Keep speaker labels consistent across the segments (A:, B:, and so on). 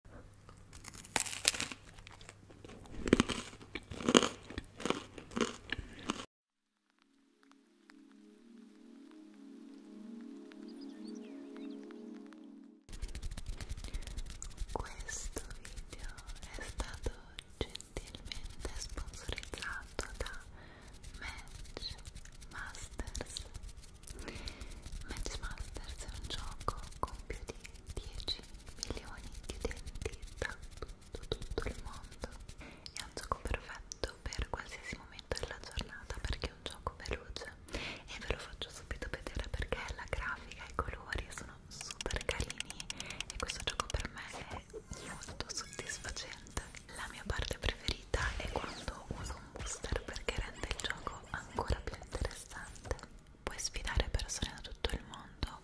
A: Questo video è stato gentilmente sponsorizzato da Match Masters Matchmasters è un gioco con più di 10 milioni di utenti da tutto, tutto il mondo è un gioco perfetto per qualsiasi momento della giornata perché è un gioco veloce e ve lo faccio subito vedere perché la grafica e i colori sono super carini e questo gioco per me è molto soddisfacente la mia parte preferita è quando uso un booster perché rende il gioco ancora più interessante puoi sfidare persone da tutto il mondo,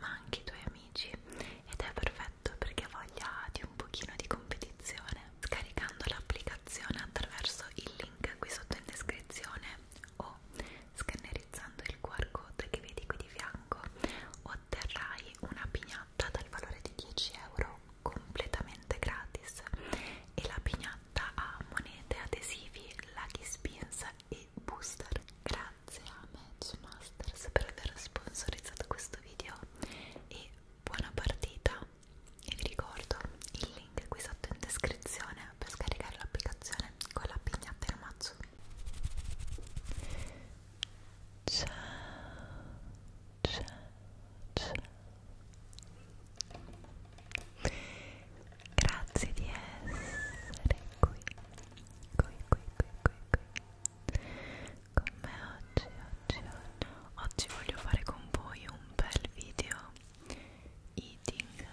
A: ma anche i tuoi amici ed è perfetto perché ha voglia di un pochino di competizione. Scaricando l'applicazione attraverso il link qui sotto in descrizione o scannerizzando il QR code che vedi qui di fianco otterrai una pignatta dal valore di 10 euro completamente gratis e la pignatta ha monete, adesivi, laghi spins e booster. Grazie a Match Masters per aver sponsorizzato questo video e buona partita! E vi ricordo il link qui sotto in descrizione per scaricare l'applicazione con la pignatta e il mazzo. Ciao, ciao, ciao. Grazie di essere qui, qui, qui, qui, qui, qui. Con me oggi, oggi, oggi. Oggi voglio fare con voi un bel video eating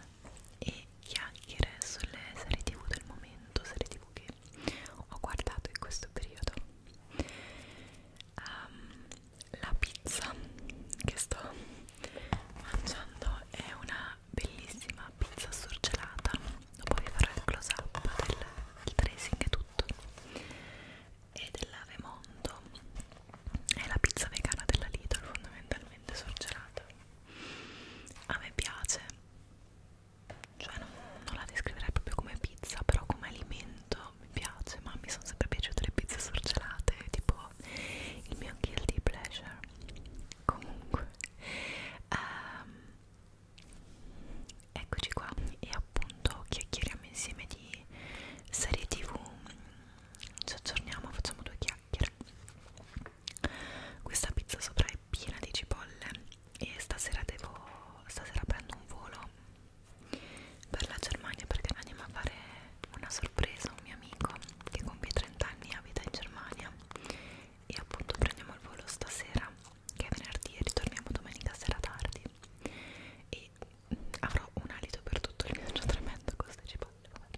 A: e chiacchiere sulle serie tv del momento, serie tv che ho guardato in questo periodo. Um, la pizza che sto mangiando è una bellissima pizza surgelata dopo vi farò il close up del, del tracing e tutto e dell'avemondo è la pizza vegana della Lidl fondamentalmente surgelata a me piace cioè non, non la descriverei proprio come pizza però come alimento mi piace ma mi sono sempre piaciute le pizze surgelate tipo po' il mio guilty pleasure comunque um, eccoci qua e appunto chiacchieriamo insieme di serie tv ci aggiorniamo facciamo due chiacchiere questa pizza sopra è piena di cipolle e stasera devo stasera prendo un volo per la Germania perché andiamo a fare una sorpresa a un mio amico che compie 30 anni e abita in Germania e appunto prendiamo il volo stasera che è venerdì e ritorniamo domenica sera tardi e mm, avrò un alito per tutto il viaggio tremendo con queste cipolle vabbè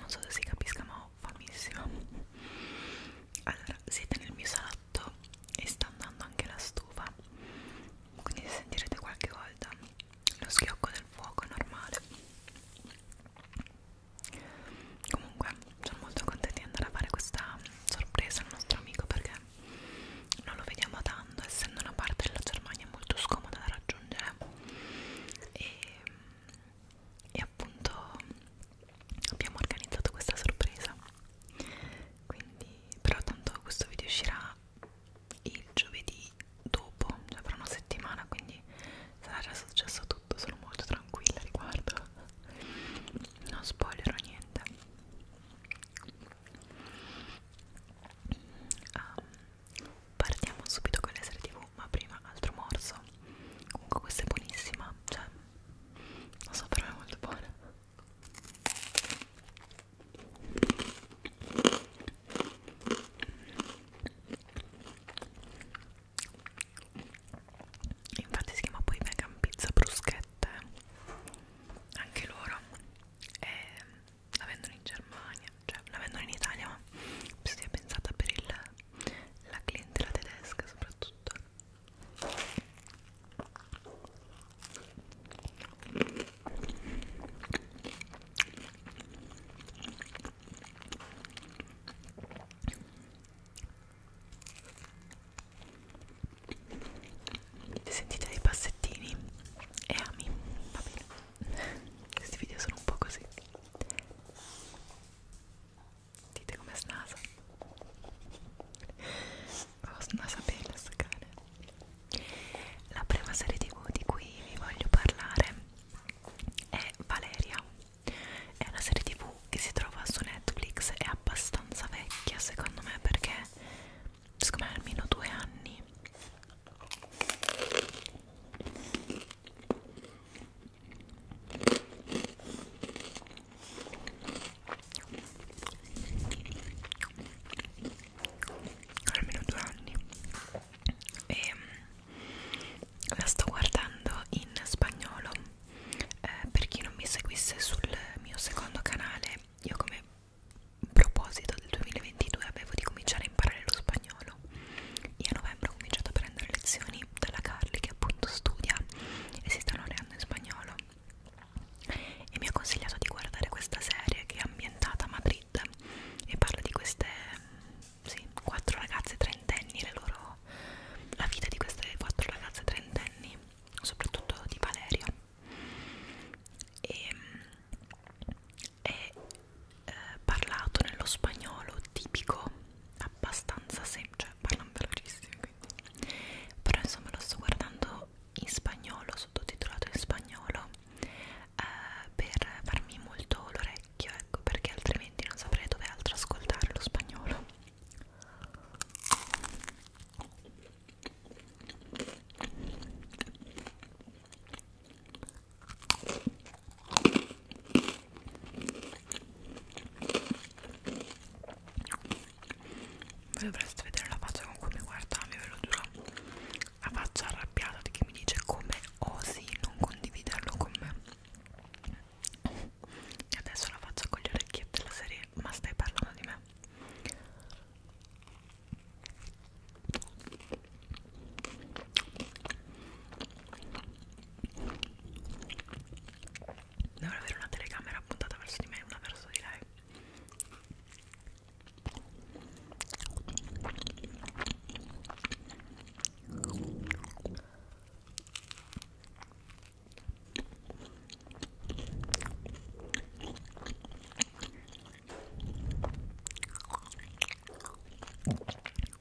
A: non so se si capisca ma ho famissima allora siete nel mio salotto e sta andando anche la stufa quindi sentirete qualche volta lo schiocco del fuoco normale comunque sono molto contenta di andare a fare questa sorpresa al nostro amico perché non lo vediamo tanto essendo una parte della Germania molto scomoda da raggiungere e e appunto abbiamo organizzato questa sorpresa quindi però tanto questo video uscirà il giovedì dopo cioè fra una settimana quindi sarà già successo tutto sono molto tranquilla riguardo non spoilerò niente um, partiamo subito con le serie tv ma prima altro morso comunque questa è buonissima cioè non so però è molto buona infatti si chiama poi vegan pizza bruschette eh. anche loro e eh, la vendono in Germania cioè la vendono in Italia ma si è pensata per il la clientela tedesca soprattutto sentite dei passettini e eh, ami va bene questi video sono un po' così Dite come snasa. Oh, snasa bene questo cane. La prima serie tv di cui vi voglio parlare è Valeria. È una serie tv che si trova su Netflix, è abbastanza vecchia secondo me perché secondo me almeno due anni almeno due anni e ehm, la sto guardando in spagnolo eh, per chi non mi seguisse sul mio secondo canale io come proposito del 2022 avevo di cominciare a imparare lo spagnolo io a novembre ho cominciato a prendere lezioni dalla Carly che appunto studia e si sta laureando in spagnolo e mi ha consigliato di guardare questa serie che è ambientata a Madrid e parla di queste mm, sì, quattro ragazze trentenni le loro, la vita di queste quattro ragazze trentenni soprattutto di Valerio e, mm, e eh, parlato nello spagnolo tipico abbastanza semplice, cioè parlano velocissimo quindi però insomma lo sto guardando in spagnolo, sottotitolato in spagnolo eh, per farmi molto l'orecchio ecco perché altrimenti non saprei dove altro ascoltare lo spagnolo voi dovreste vedere la faccia con cui mi guardami, ve lo giuro. La faccia arrabbiata di chi mi dice come osi non condividerlo con me. E adesso la faccia con le orecchiette della serie, ma stai parlando di me. Dovrò avere una telecamera puntata verso di me e una verso di lei e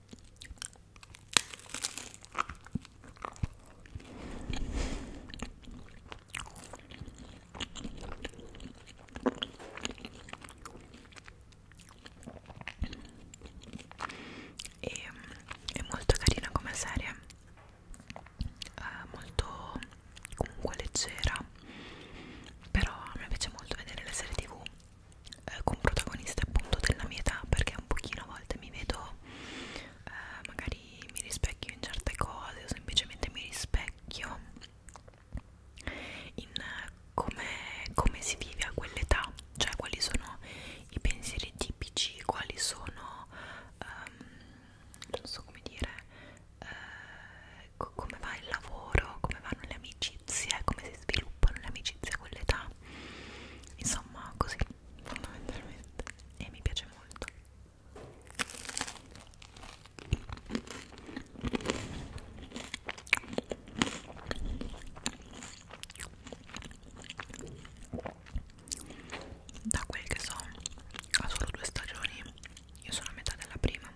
A: mm, è molto carina come serie eh, molto comunque leggera però a me piace molto vedere le serie tv eh, con protagoniste appunto della mia età perché un pochino a volte mi vedo eh, magari mi rispecchio in certe cose o semplicemente mi rispecchio in eh, come, come si vive a quell'età cioè quali sono i pensieri tipici quali sono um, non so come dire eh, come va il lavoro come vanno le amiche amicizie, come si sviluppano le amicizie con l'età, insomma così fondamentalmente e mi piace molto. Da quel che so, ha solo due stagioni, io sono a metà della prima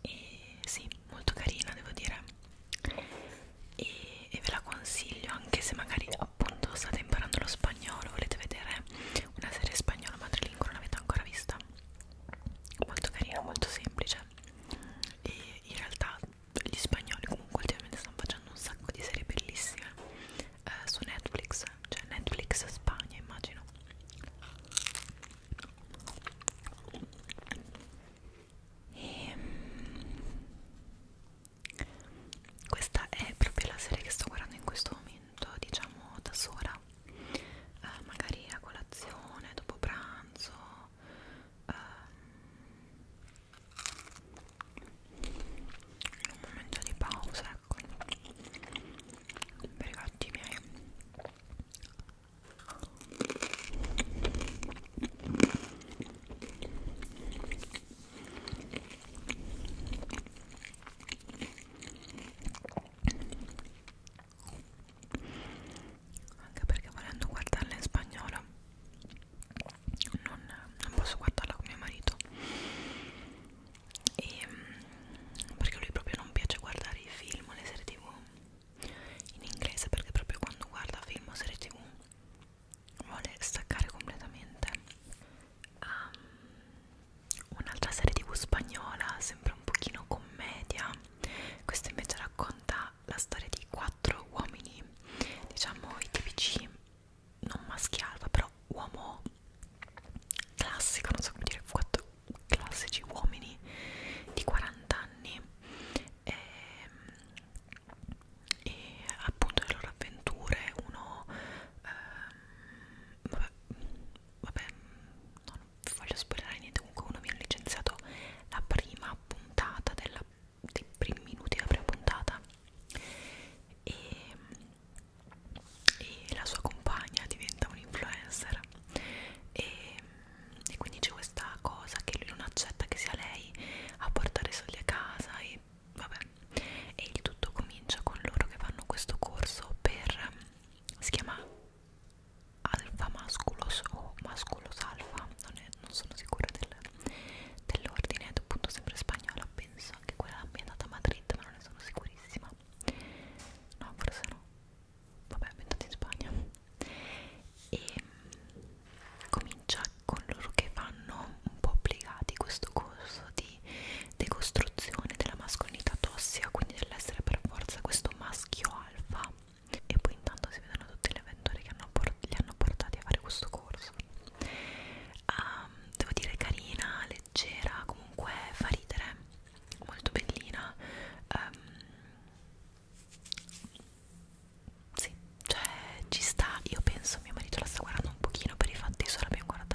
A: e sì, molto carina devo dire e, e ve la consiglio anche se magari appunto state imparando lo spagnolo volete vedere una serie spagnola madrelingua non l'avete ancora vista molto carino, molto semplice e in realtà gli spagnoli comunque ultimamente stanno facendo un sacco di serie bellissime eh, su Netflix, cioè Netflix Spagna immagino e, ehm, questa è proprio la serie che sto guardando in questo momento diciamo da sola eh, magari a colazione, dopo pranzo eh, un momento di pausa ecco per i gatti miei anche perché volendo guardarla in spagnolo non, non posso guardarla con mio marito e, mm, perché lui proprio non piace guardare i film o le serie tv in inglese perché proprio quando guarda film o serie tv vuole staccare completamente um, un'altra serie tv spagnola, sempre un pochino commedia, questa invece racconta la storia di quattro uomini, diciamo i tipici non maschi alfa, però uomo classico, non so come dire, quattro classici uomini di 40 anni e, ehm, e appunto le loro avventure, uno... Eh, vabbè, vabbè, non voglio spoilerare niente, comunque uno mi ha licenziato la prima puntata della, dei primi minuti della prima puntata e, e la sua compagna diventa un influencer e, e quindi c'è questa cosa che lui non accetta che sia lei a portare i soldi a casa e vabbè e il tutto comincia con loro che fanno questo corso per si chiama alfa masculus o masculus alfa non, è, non sono sicura del, dell'ordine è appunto sempre spagnola penso anche quella è ambientata a Madrid ma non ne sono sicurissima no forse no vabbè ambientata in Spagna e ehm, comincia con loro che fanno un po' obbligati questo corso di decostruzione della mascolinità tossica, quindi dell'essere per forza questo maschio alfa. E poi intanto si vedono tutti gli avventori che hanno li hanno portati a fare questo corso. Um, devo dire carina, leggera, comunque fa ridere, molto bellina. Um, sì, cioè ci sta, io penso mio marito la sta guardando un pochino per i fatti, solo abbiamo guardato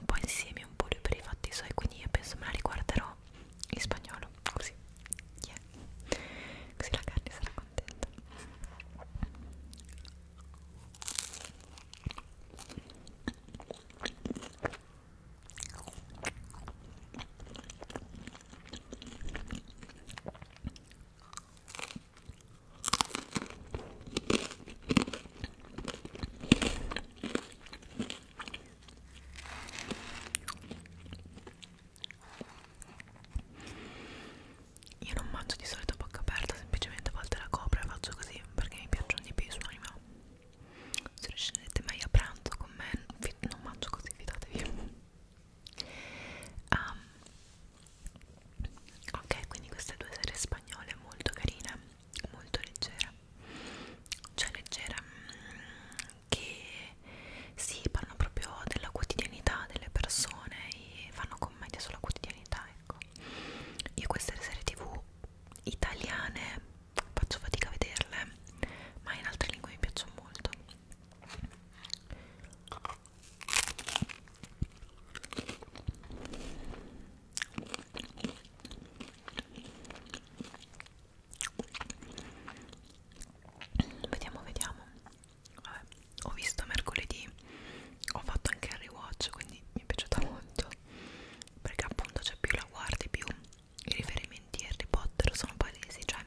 A: un po' insieme, un po' lui per i fatti suoi, quindi io penso me la riguarderò in spagnolo, così, yeah. così la carne sarà contenta. Io non mangio di solito a bocca aperta, semplicemente a volte la copro e faccio così perché mi piacciono di più i suoni, ma se non scendete mai a pranzo con me non mangio così, fidatevi. Um, ok, quindi queste due serie spagnole molto carine, molto leggere cioè leggera mm, che si sì, parlano proprio della quotidianità delle persone e fanno commedia sulla quotidianità ecco io queste serie tv italiane faccio fatica a vederle ma in altre lingue mi piacciono molto Vediamo, vediamo. Vabbè, ho visto mercoledì, ho fatto anche il rewatch, quindi mi è piaciuta molto. Perché appunto c'è cioè, più la guardi, più i riferimenti a Harry Potter sono palesi, cioè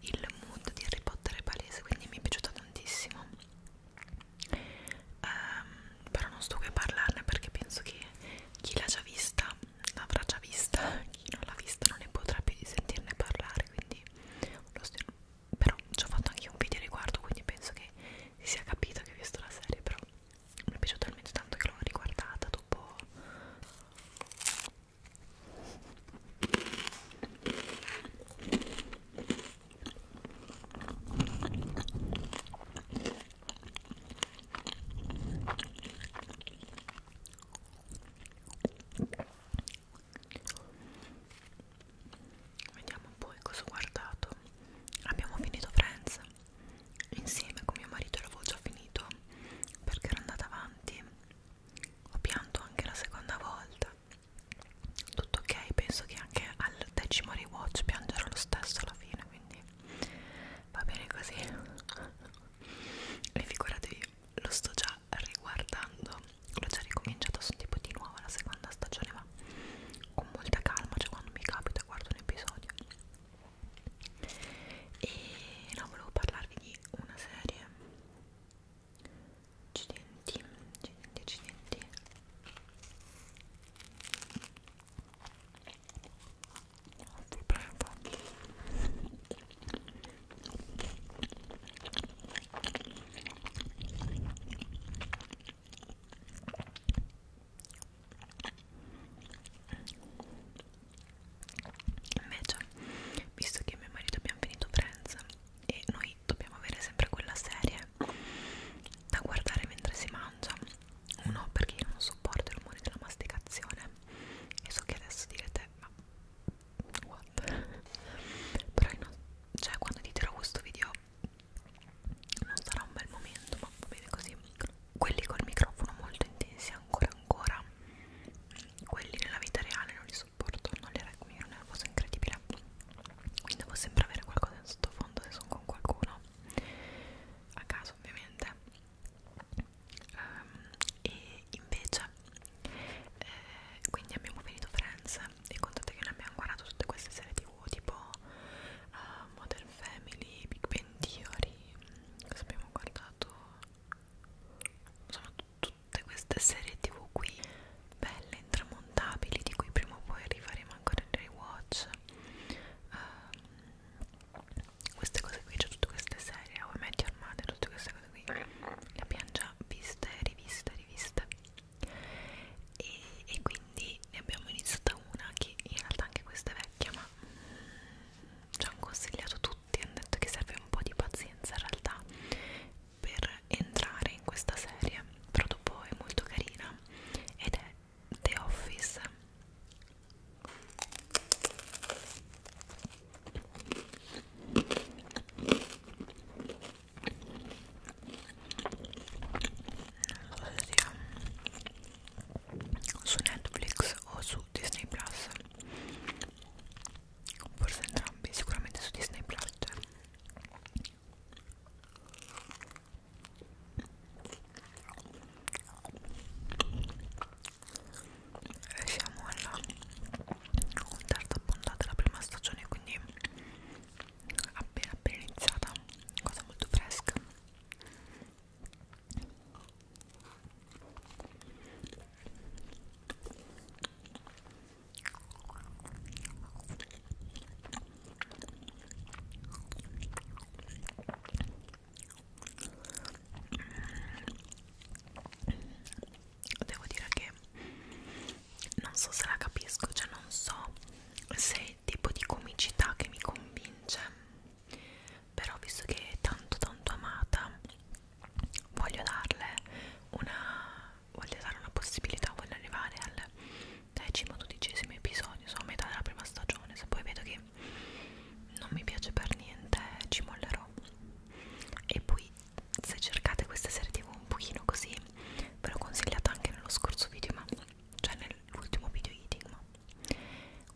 A: il mood di Harry Potter è palese, quindi mi è piaciuta tantissimo. Um, però non sto qui a parlarne perché penso che chi l'ha già vista l'avrà già vista, chi non l'ha vista non ne potrà più di sentirne parlare, quindi lo stiro. Però ci ho fatto anche un video riguardo, quindi penso che si sia capito che ho visto la serie, però mi è piaciuta talmente tanto che l'ho riguardata dopo Vediamo poi cosa ho guardato. Abbiamo finito Friends insieme con mio marito, l'avevo già finito perché ero andata avanti. Ho pianto anche la seconda volta. Tutto ok, penso che anche al decimo rewatch piangerò lo stesso alla fine, quindi va bene così e figuratevi lo sto già riguardando l'ho già ricominciato sono tipo di nuovo la seconda stagione ma con molta calma cioè quando mi capita guardo un episodio e no volevo parlarvi di una serie accidenti accidenti accidenti lo prendo invece visto che mio marito abbiamo finito Friends e noi dobbiamo avere sempre quella serie da guardare mentre si mangia uno perché io non sopporto i rumori della masticazione e so che adesso direte ma what però no, cioè quando editerò questo video non sarà un bel momento ma va bene così quelli col microfono molto intensi ancora ancora quelli nella vita reale non li sopporto non li reggo mi è una cosa incredibile quindi devo sempre avere qualcosa in sottofondo se sono con qualcuno a caso ovviamente um, e invece eh, quindi abbiamo finito Friends e contate che ne abbiamo guardato tutte queste serie tv tipo uh, Modern Family, Big Bang Theory mm, cosa abbiamo guardato? insomma tutte queste serie tv qui belle, intramontabili di cui prima o poi arriveremo ancora nei rewatch um, queste cose qui, c'è tutte queste serie, o metti armate, tutte queste cose qui le abbiamo già viste, riviste, riviste e, e quindi ne abbiamo iniziata una che in realtà anche questa è vecchia ma mm, ci hanno consigliato tutti, hanno detto che serve un po' di pazienza in realtà per entrare in questa serie però dopo è molto carina ed è The Office non so sia su Netflix o su Disney Plus forse entrambi sicuramente su Disney Plus cioè e siamo alla terza puntata della prima stagione quindi appena appena iniziata cosa molto fresca Devo dire che non so se la capisco, cioè non so se è il tipo di comicità che mi convince, però visto che è tanto tanto amata, voglio darle una voglio dare una possibilità, voglio arrivare al decimo, dodicesimo episodio, sono a metà della prima stagione, se poi vedo che non mi piace per niente ci mollerò. E poi se cercate questa serie tv un pochino così, ve l'ho consigliata anche nello scorso video, ma cioè nell'ultimo video eating, ma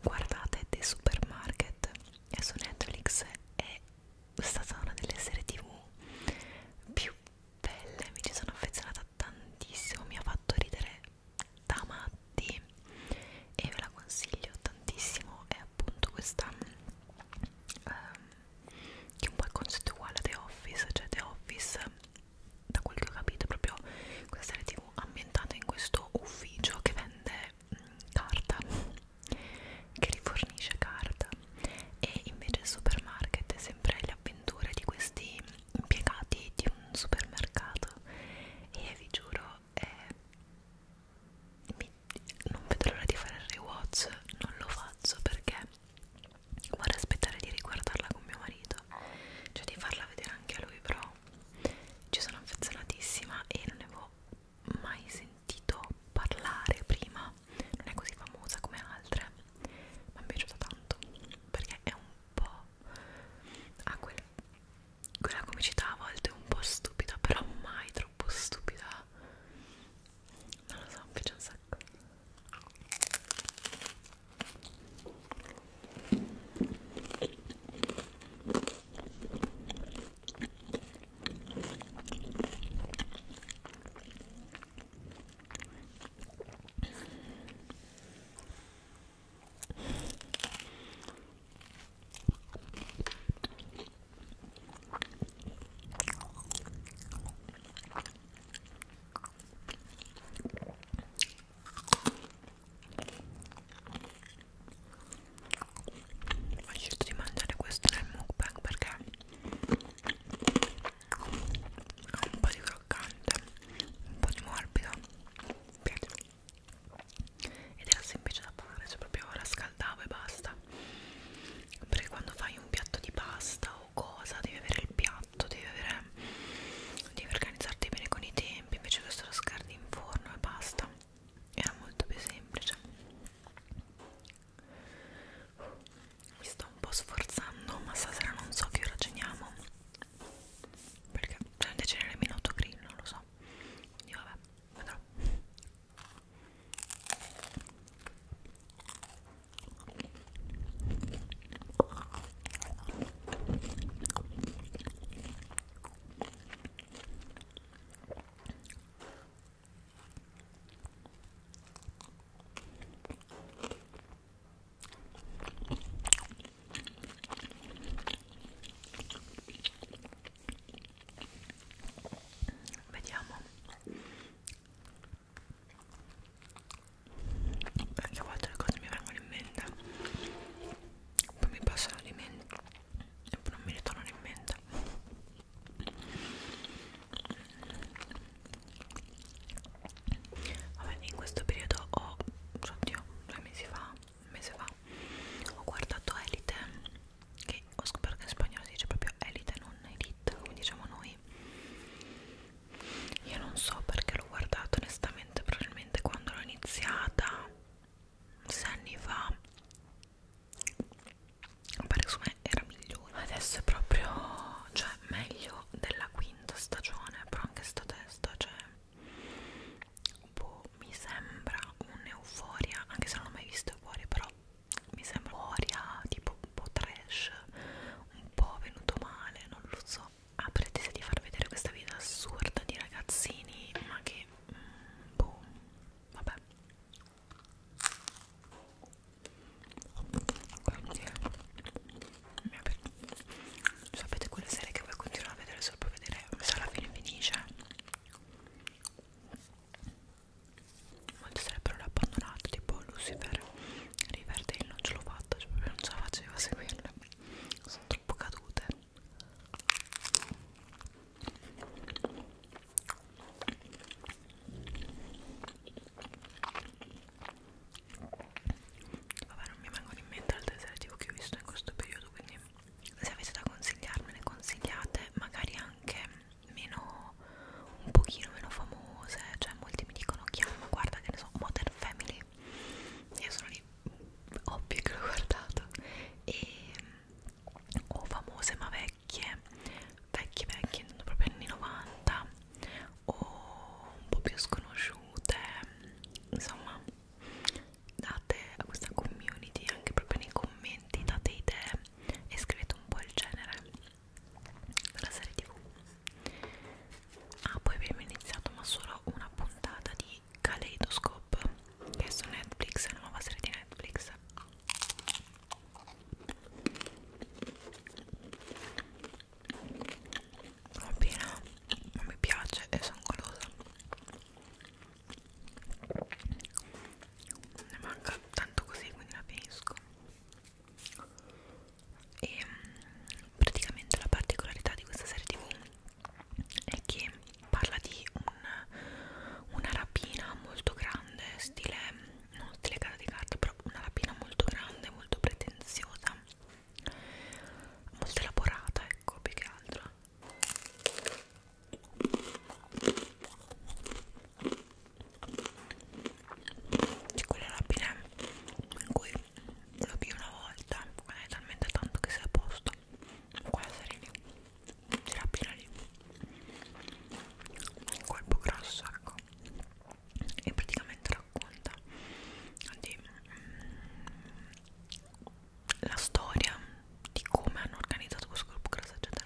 A: guardate The Supermarket, è su Netflix, è stata una delle serie tv più belle, mi ci sono affezionata tantissimo, mi ha fatto ridere da matti e ve la consiglio tantissimo è appunto questa um, che un po' il concetto è uguale a The Office cioè The Office da quel che ho capito è proprio questa serie tv ambientata in questo ufficio che vende mh, mm, carta che rifornisce carta e invece il supermarket è sempre le avventure di questi impiegati di un supermercato e vi giuro eh, mi, non vedo l'ora di fare il rewatch non lo faccio perché vorrei aspettare di riguardarla con mio marito cioè di farla vedere anche a lui però ci sono affezionatissima e non ne avevo mai sentito parlare prima non è così famosa come altre ma mi è piaciuta tanto perché è un po' ha quel, quella comicità a volte un po' stupida, però mai troppo stupida. Non lo so, mi piace un sacco ho scelto di mangiare questo nel mukbang perché ha un po' di croccante un po' di morbido mi piace ed era semplice da fare cioè proprio rascaldavo e basta perché quando fai un piatto di pasta o cosa devi avere il piatto devi avere devi organizzarti bene con i tempi invece questo lo scardi in forno e basta era molto più semplice mi sto un po' sforzando ma stasera non so che ora ceniamo perché prende genere minuto green non lo so quindi vabbè vedrò Vediamo perché a volte le cose mi vengono in mente, poi mi passano di mente e poi non mi ritornano in mente. Vabbè, in questo periodo ho, oddio, due mesi fa, un mese fa, ho guardato Elite, che ho scoperto che in spagnolo si dice proprio Elite, non Elite, come diciamo noi. Io non so perché l'ho guardato, onestamente, probabilmente quando l'ho iniziata, sei anni fa, pare su me era migliore. Adesso è proprio, cioè, meglio della quinta stagione, però anche sta testa, cioè, boh, mi sembra un'euforia, anche se non ho mai visto euforia, però mi sembra euforia tipo un po' trash, un po' venuto male, non lo so. Ha pretesa di far vedere questa vita assurda di ragazzini, ma che mm, boh, vabbè. Quindi mi ha sapete quelle serie che voi continuare a vedere solo per vedere se alla fine finisce molte sarebbero abbandonate tipo Lucifer Riverdale non ce l'ho fatta cioè non ce la facevo a seguirle sono troppo cadute Vabbè, non mi vengono in mente altri asertivi che ho visto in questo periodo, quindi se avete da consigliarmi ne consigliate, magari anche meno un pochino meno famose, cioè molti mi dicono chiama, guarda che ne so, Modern Family. Io sono lì ovvio che l'ho guardato e o famose ma vecchie, vecchie vecchie, proprio anni 90 o un po' più sconosciute insomma date a questa community anche proprio nei commenti date idee e scrivete un po' il genere della serie tv ah poi abbiamo iniziato ma solo una puntata di Kaleidoscope che è su Netflix, è una nuova serie di Netflix appena non mi piace e sono golosa ne manca tanto così quindi la finisco e ehm, praticamente la particolarità di questa serie tv è che parla di un, una rapina molto grande stile non stile casa di carta però una rapina molto grande molto pretenziosa molto elaborata ecco più che altro c'è quella rapina in cui lo più una volta quella è talmente tanto che sei a posto quella serie lì si rapina lì un colpo grosso ecco e praticamente racconta di, mm, la storia di come hanno organizzato questo gruppo cross eccetera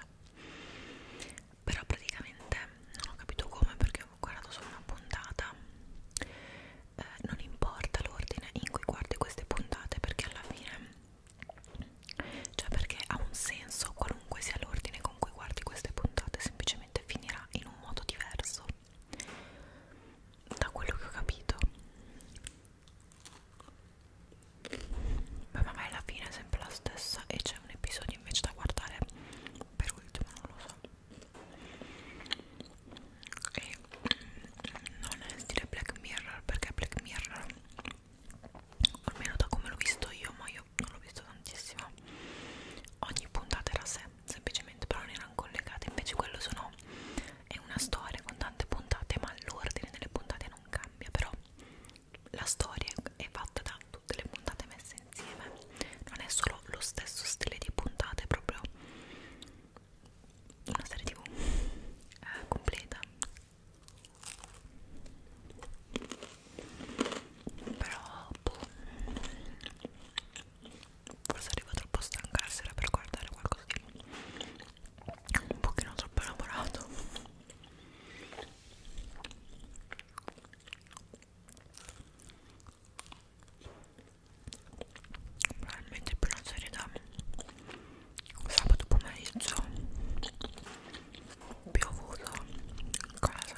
A: però praticamente non ho capito come perché ho guardato solo una puntata eh, non importa l'ordine in cui guardi queste puntate perché alla fine cioè perché ha un senso qualunque sia l'ordine con cui guardi queste puntate semplicemente finirà in un modo diverso da quello che ho capito ma magari la fine è sempre la stessa e c'è un episodio invece da guardare per ultimo non lo so e mm, non è stile Black Mirror perché Black Mirror almeno da come l'ho visto io ma io non l'ho visto tantissimo ogni puntata era sempre semplicemente però non erano collegate invece quello sono è una storia con tante puntate ma l'ordine delle puntate non cambia però la storia è fatta da tutte le puntate messe insieme non è solo lo stesso stile di puntate è proprio una serie tv eh, completa però boh, forse arrivo troppo stanca la sera per guardare qualcosa di un pochino troppo elaborato probabilmente per una serie da sabato pomeriggio piovuto in casa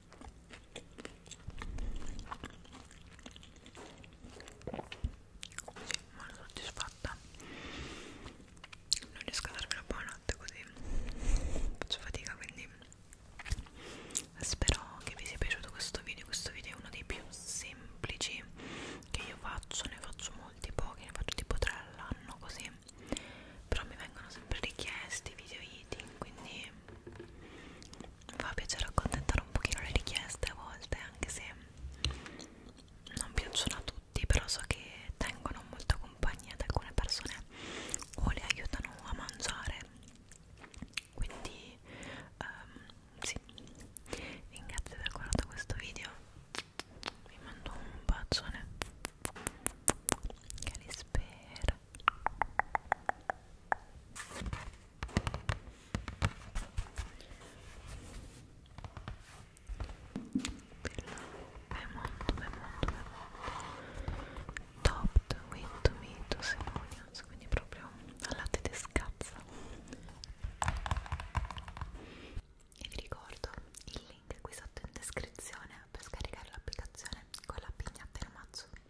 A: sì, molto soddisfatta. Non riesco a darmi una buonanotte così. Faccio fatica quindi. Spero che vi sia piaciuto questo video. Questo video è uno dei più semplici che io faccio. Ne faccio molti pochi, ne faccio tipo tre all'anno così. Però mi vengono sempre richiesti video eating quindi fa piacere accontentare un pochino le richieste a volte anche se non piacciono a tutti però so che tengono molto compagnia ad alcune persone o le aiutano a mangiare quindi um, sì ringrazio per aver guardato questo video vi mando un bacione che li spera Bemondo, bemondo, bemondo Topped with tomatoes and onions Quindi proprio al latte di scazza E vi ricordo il link qui sotto in descrizione per scaricare l'applicazione con la pigna per mazzo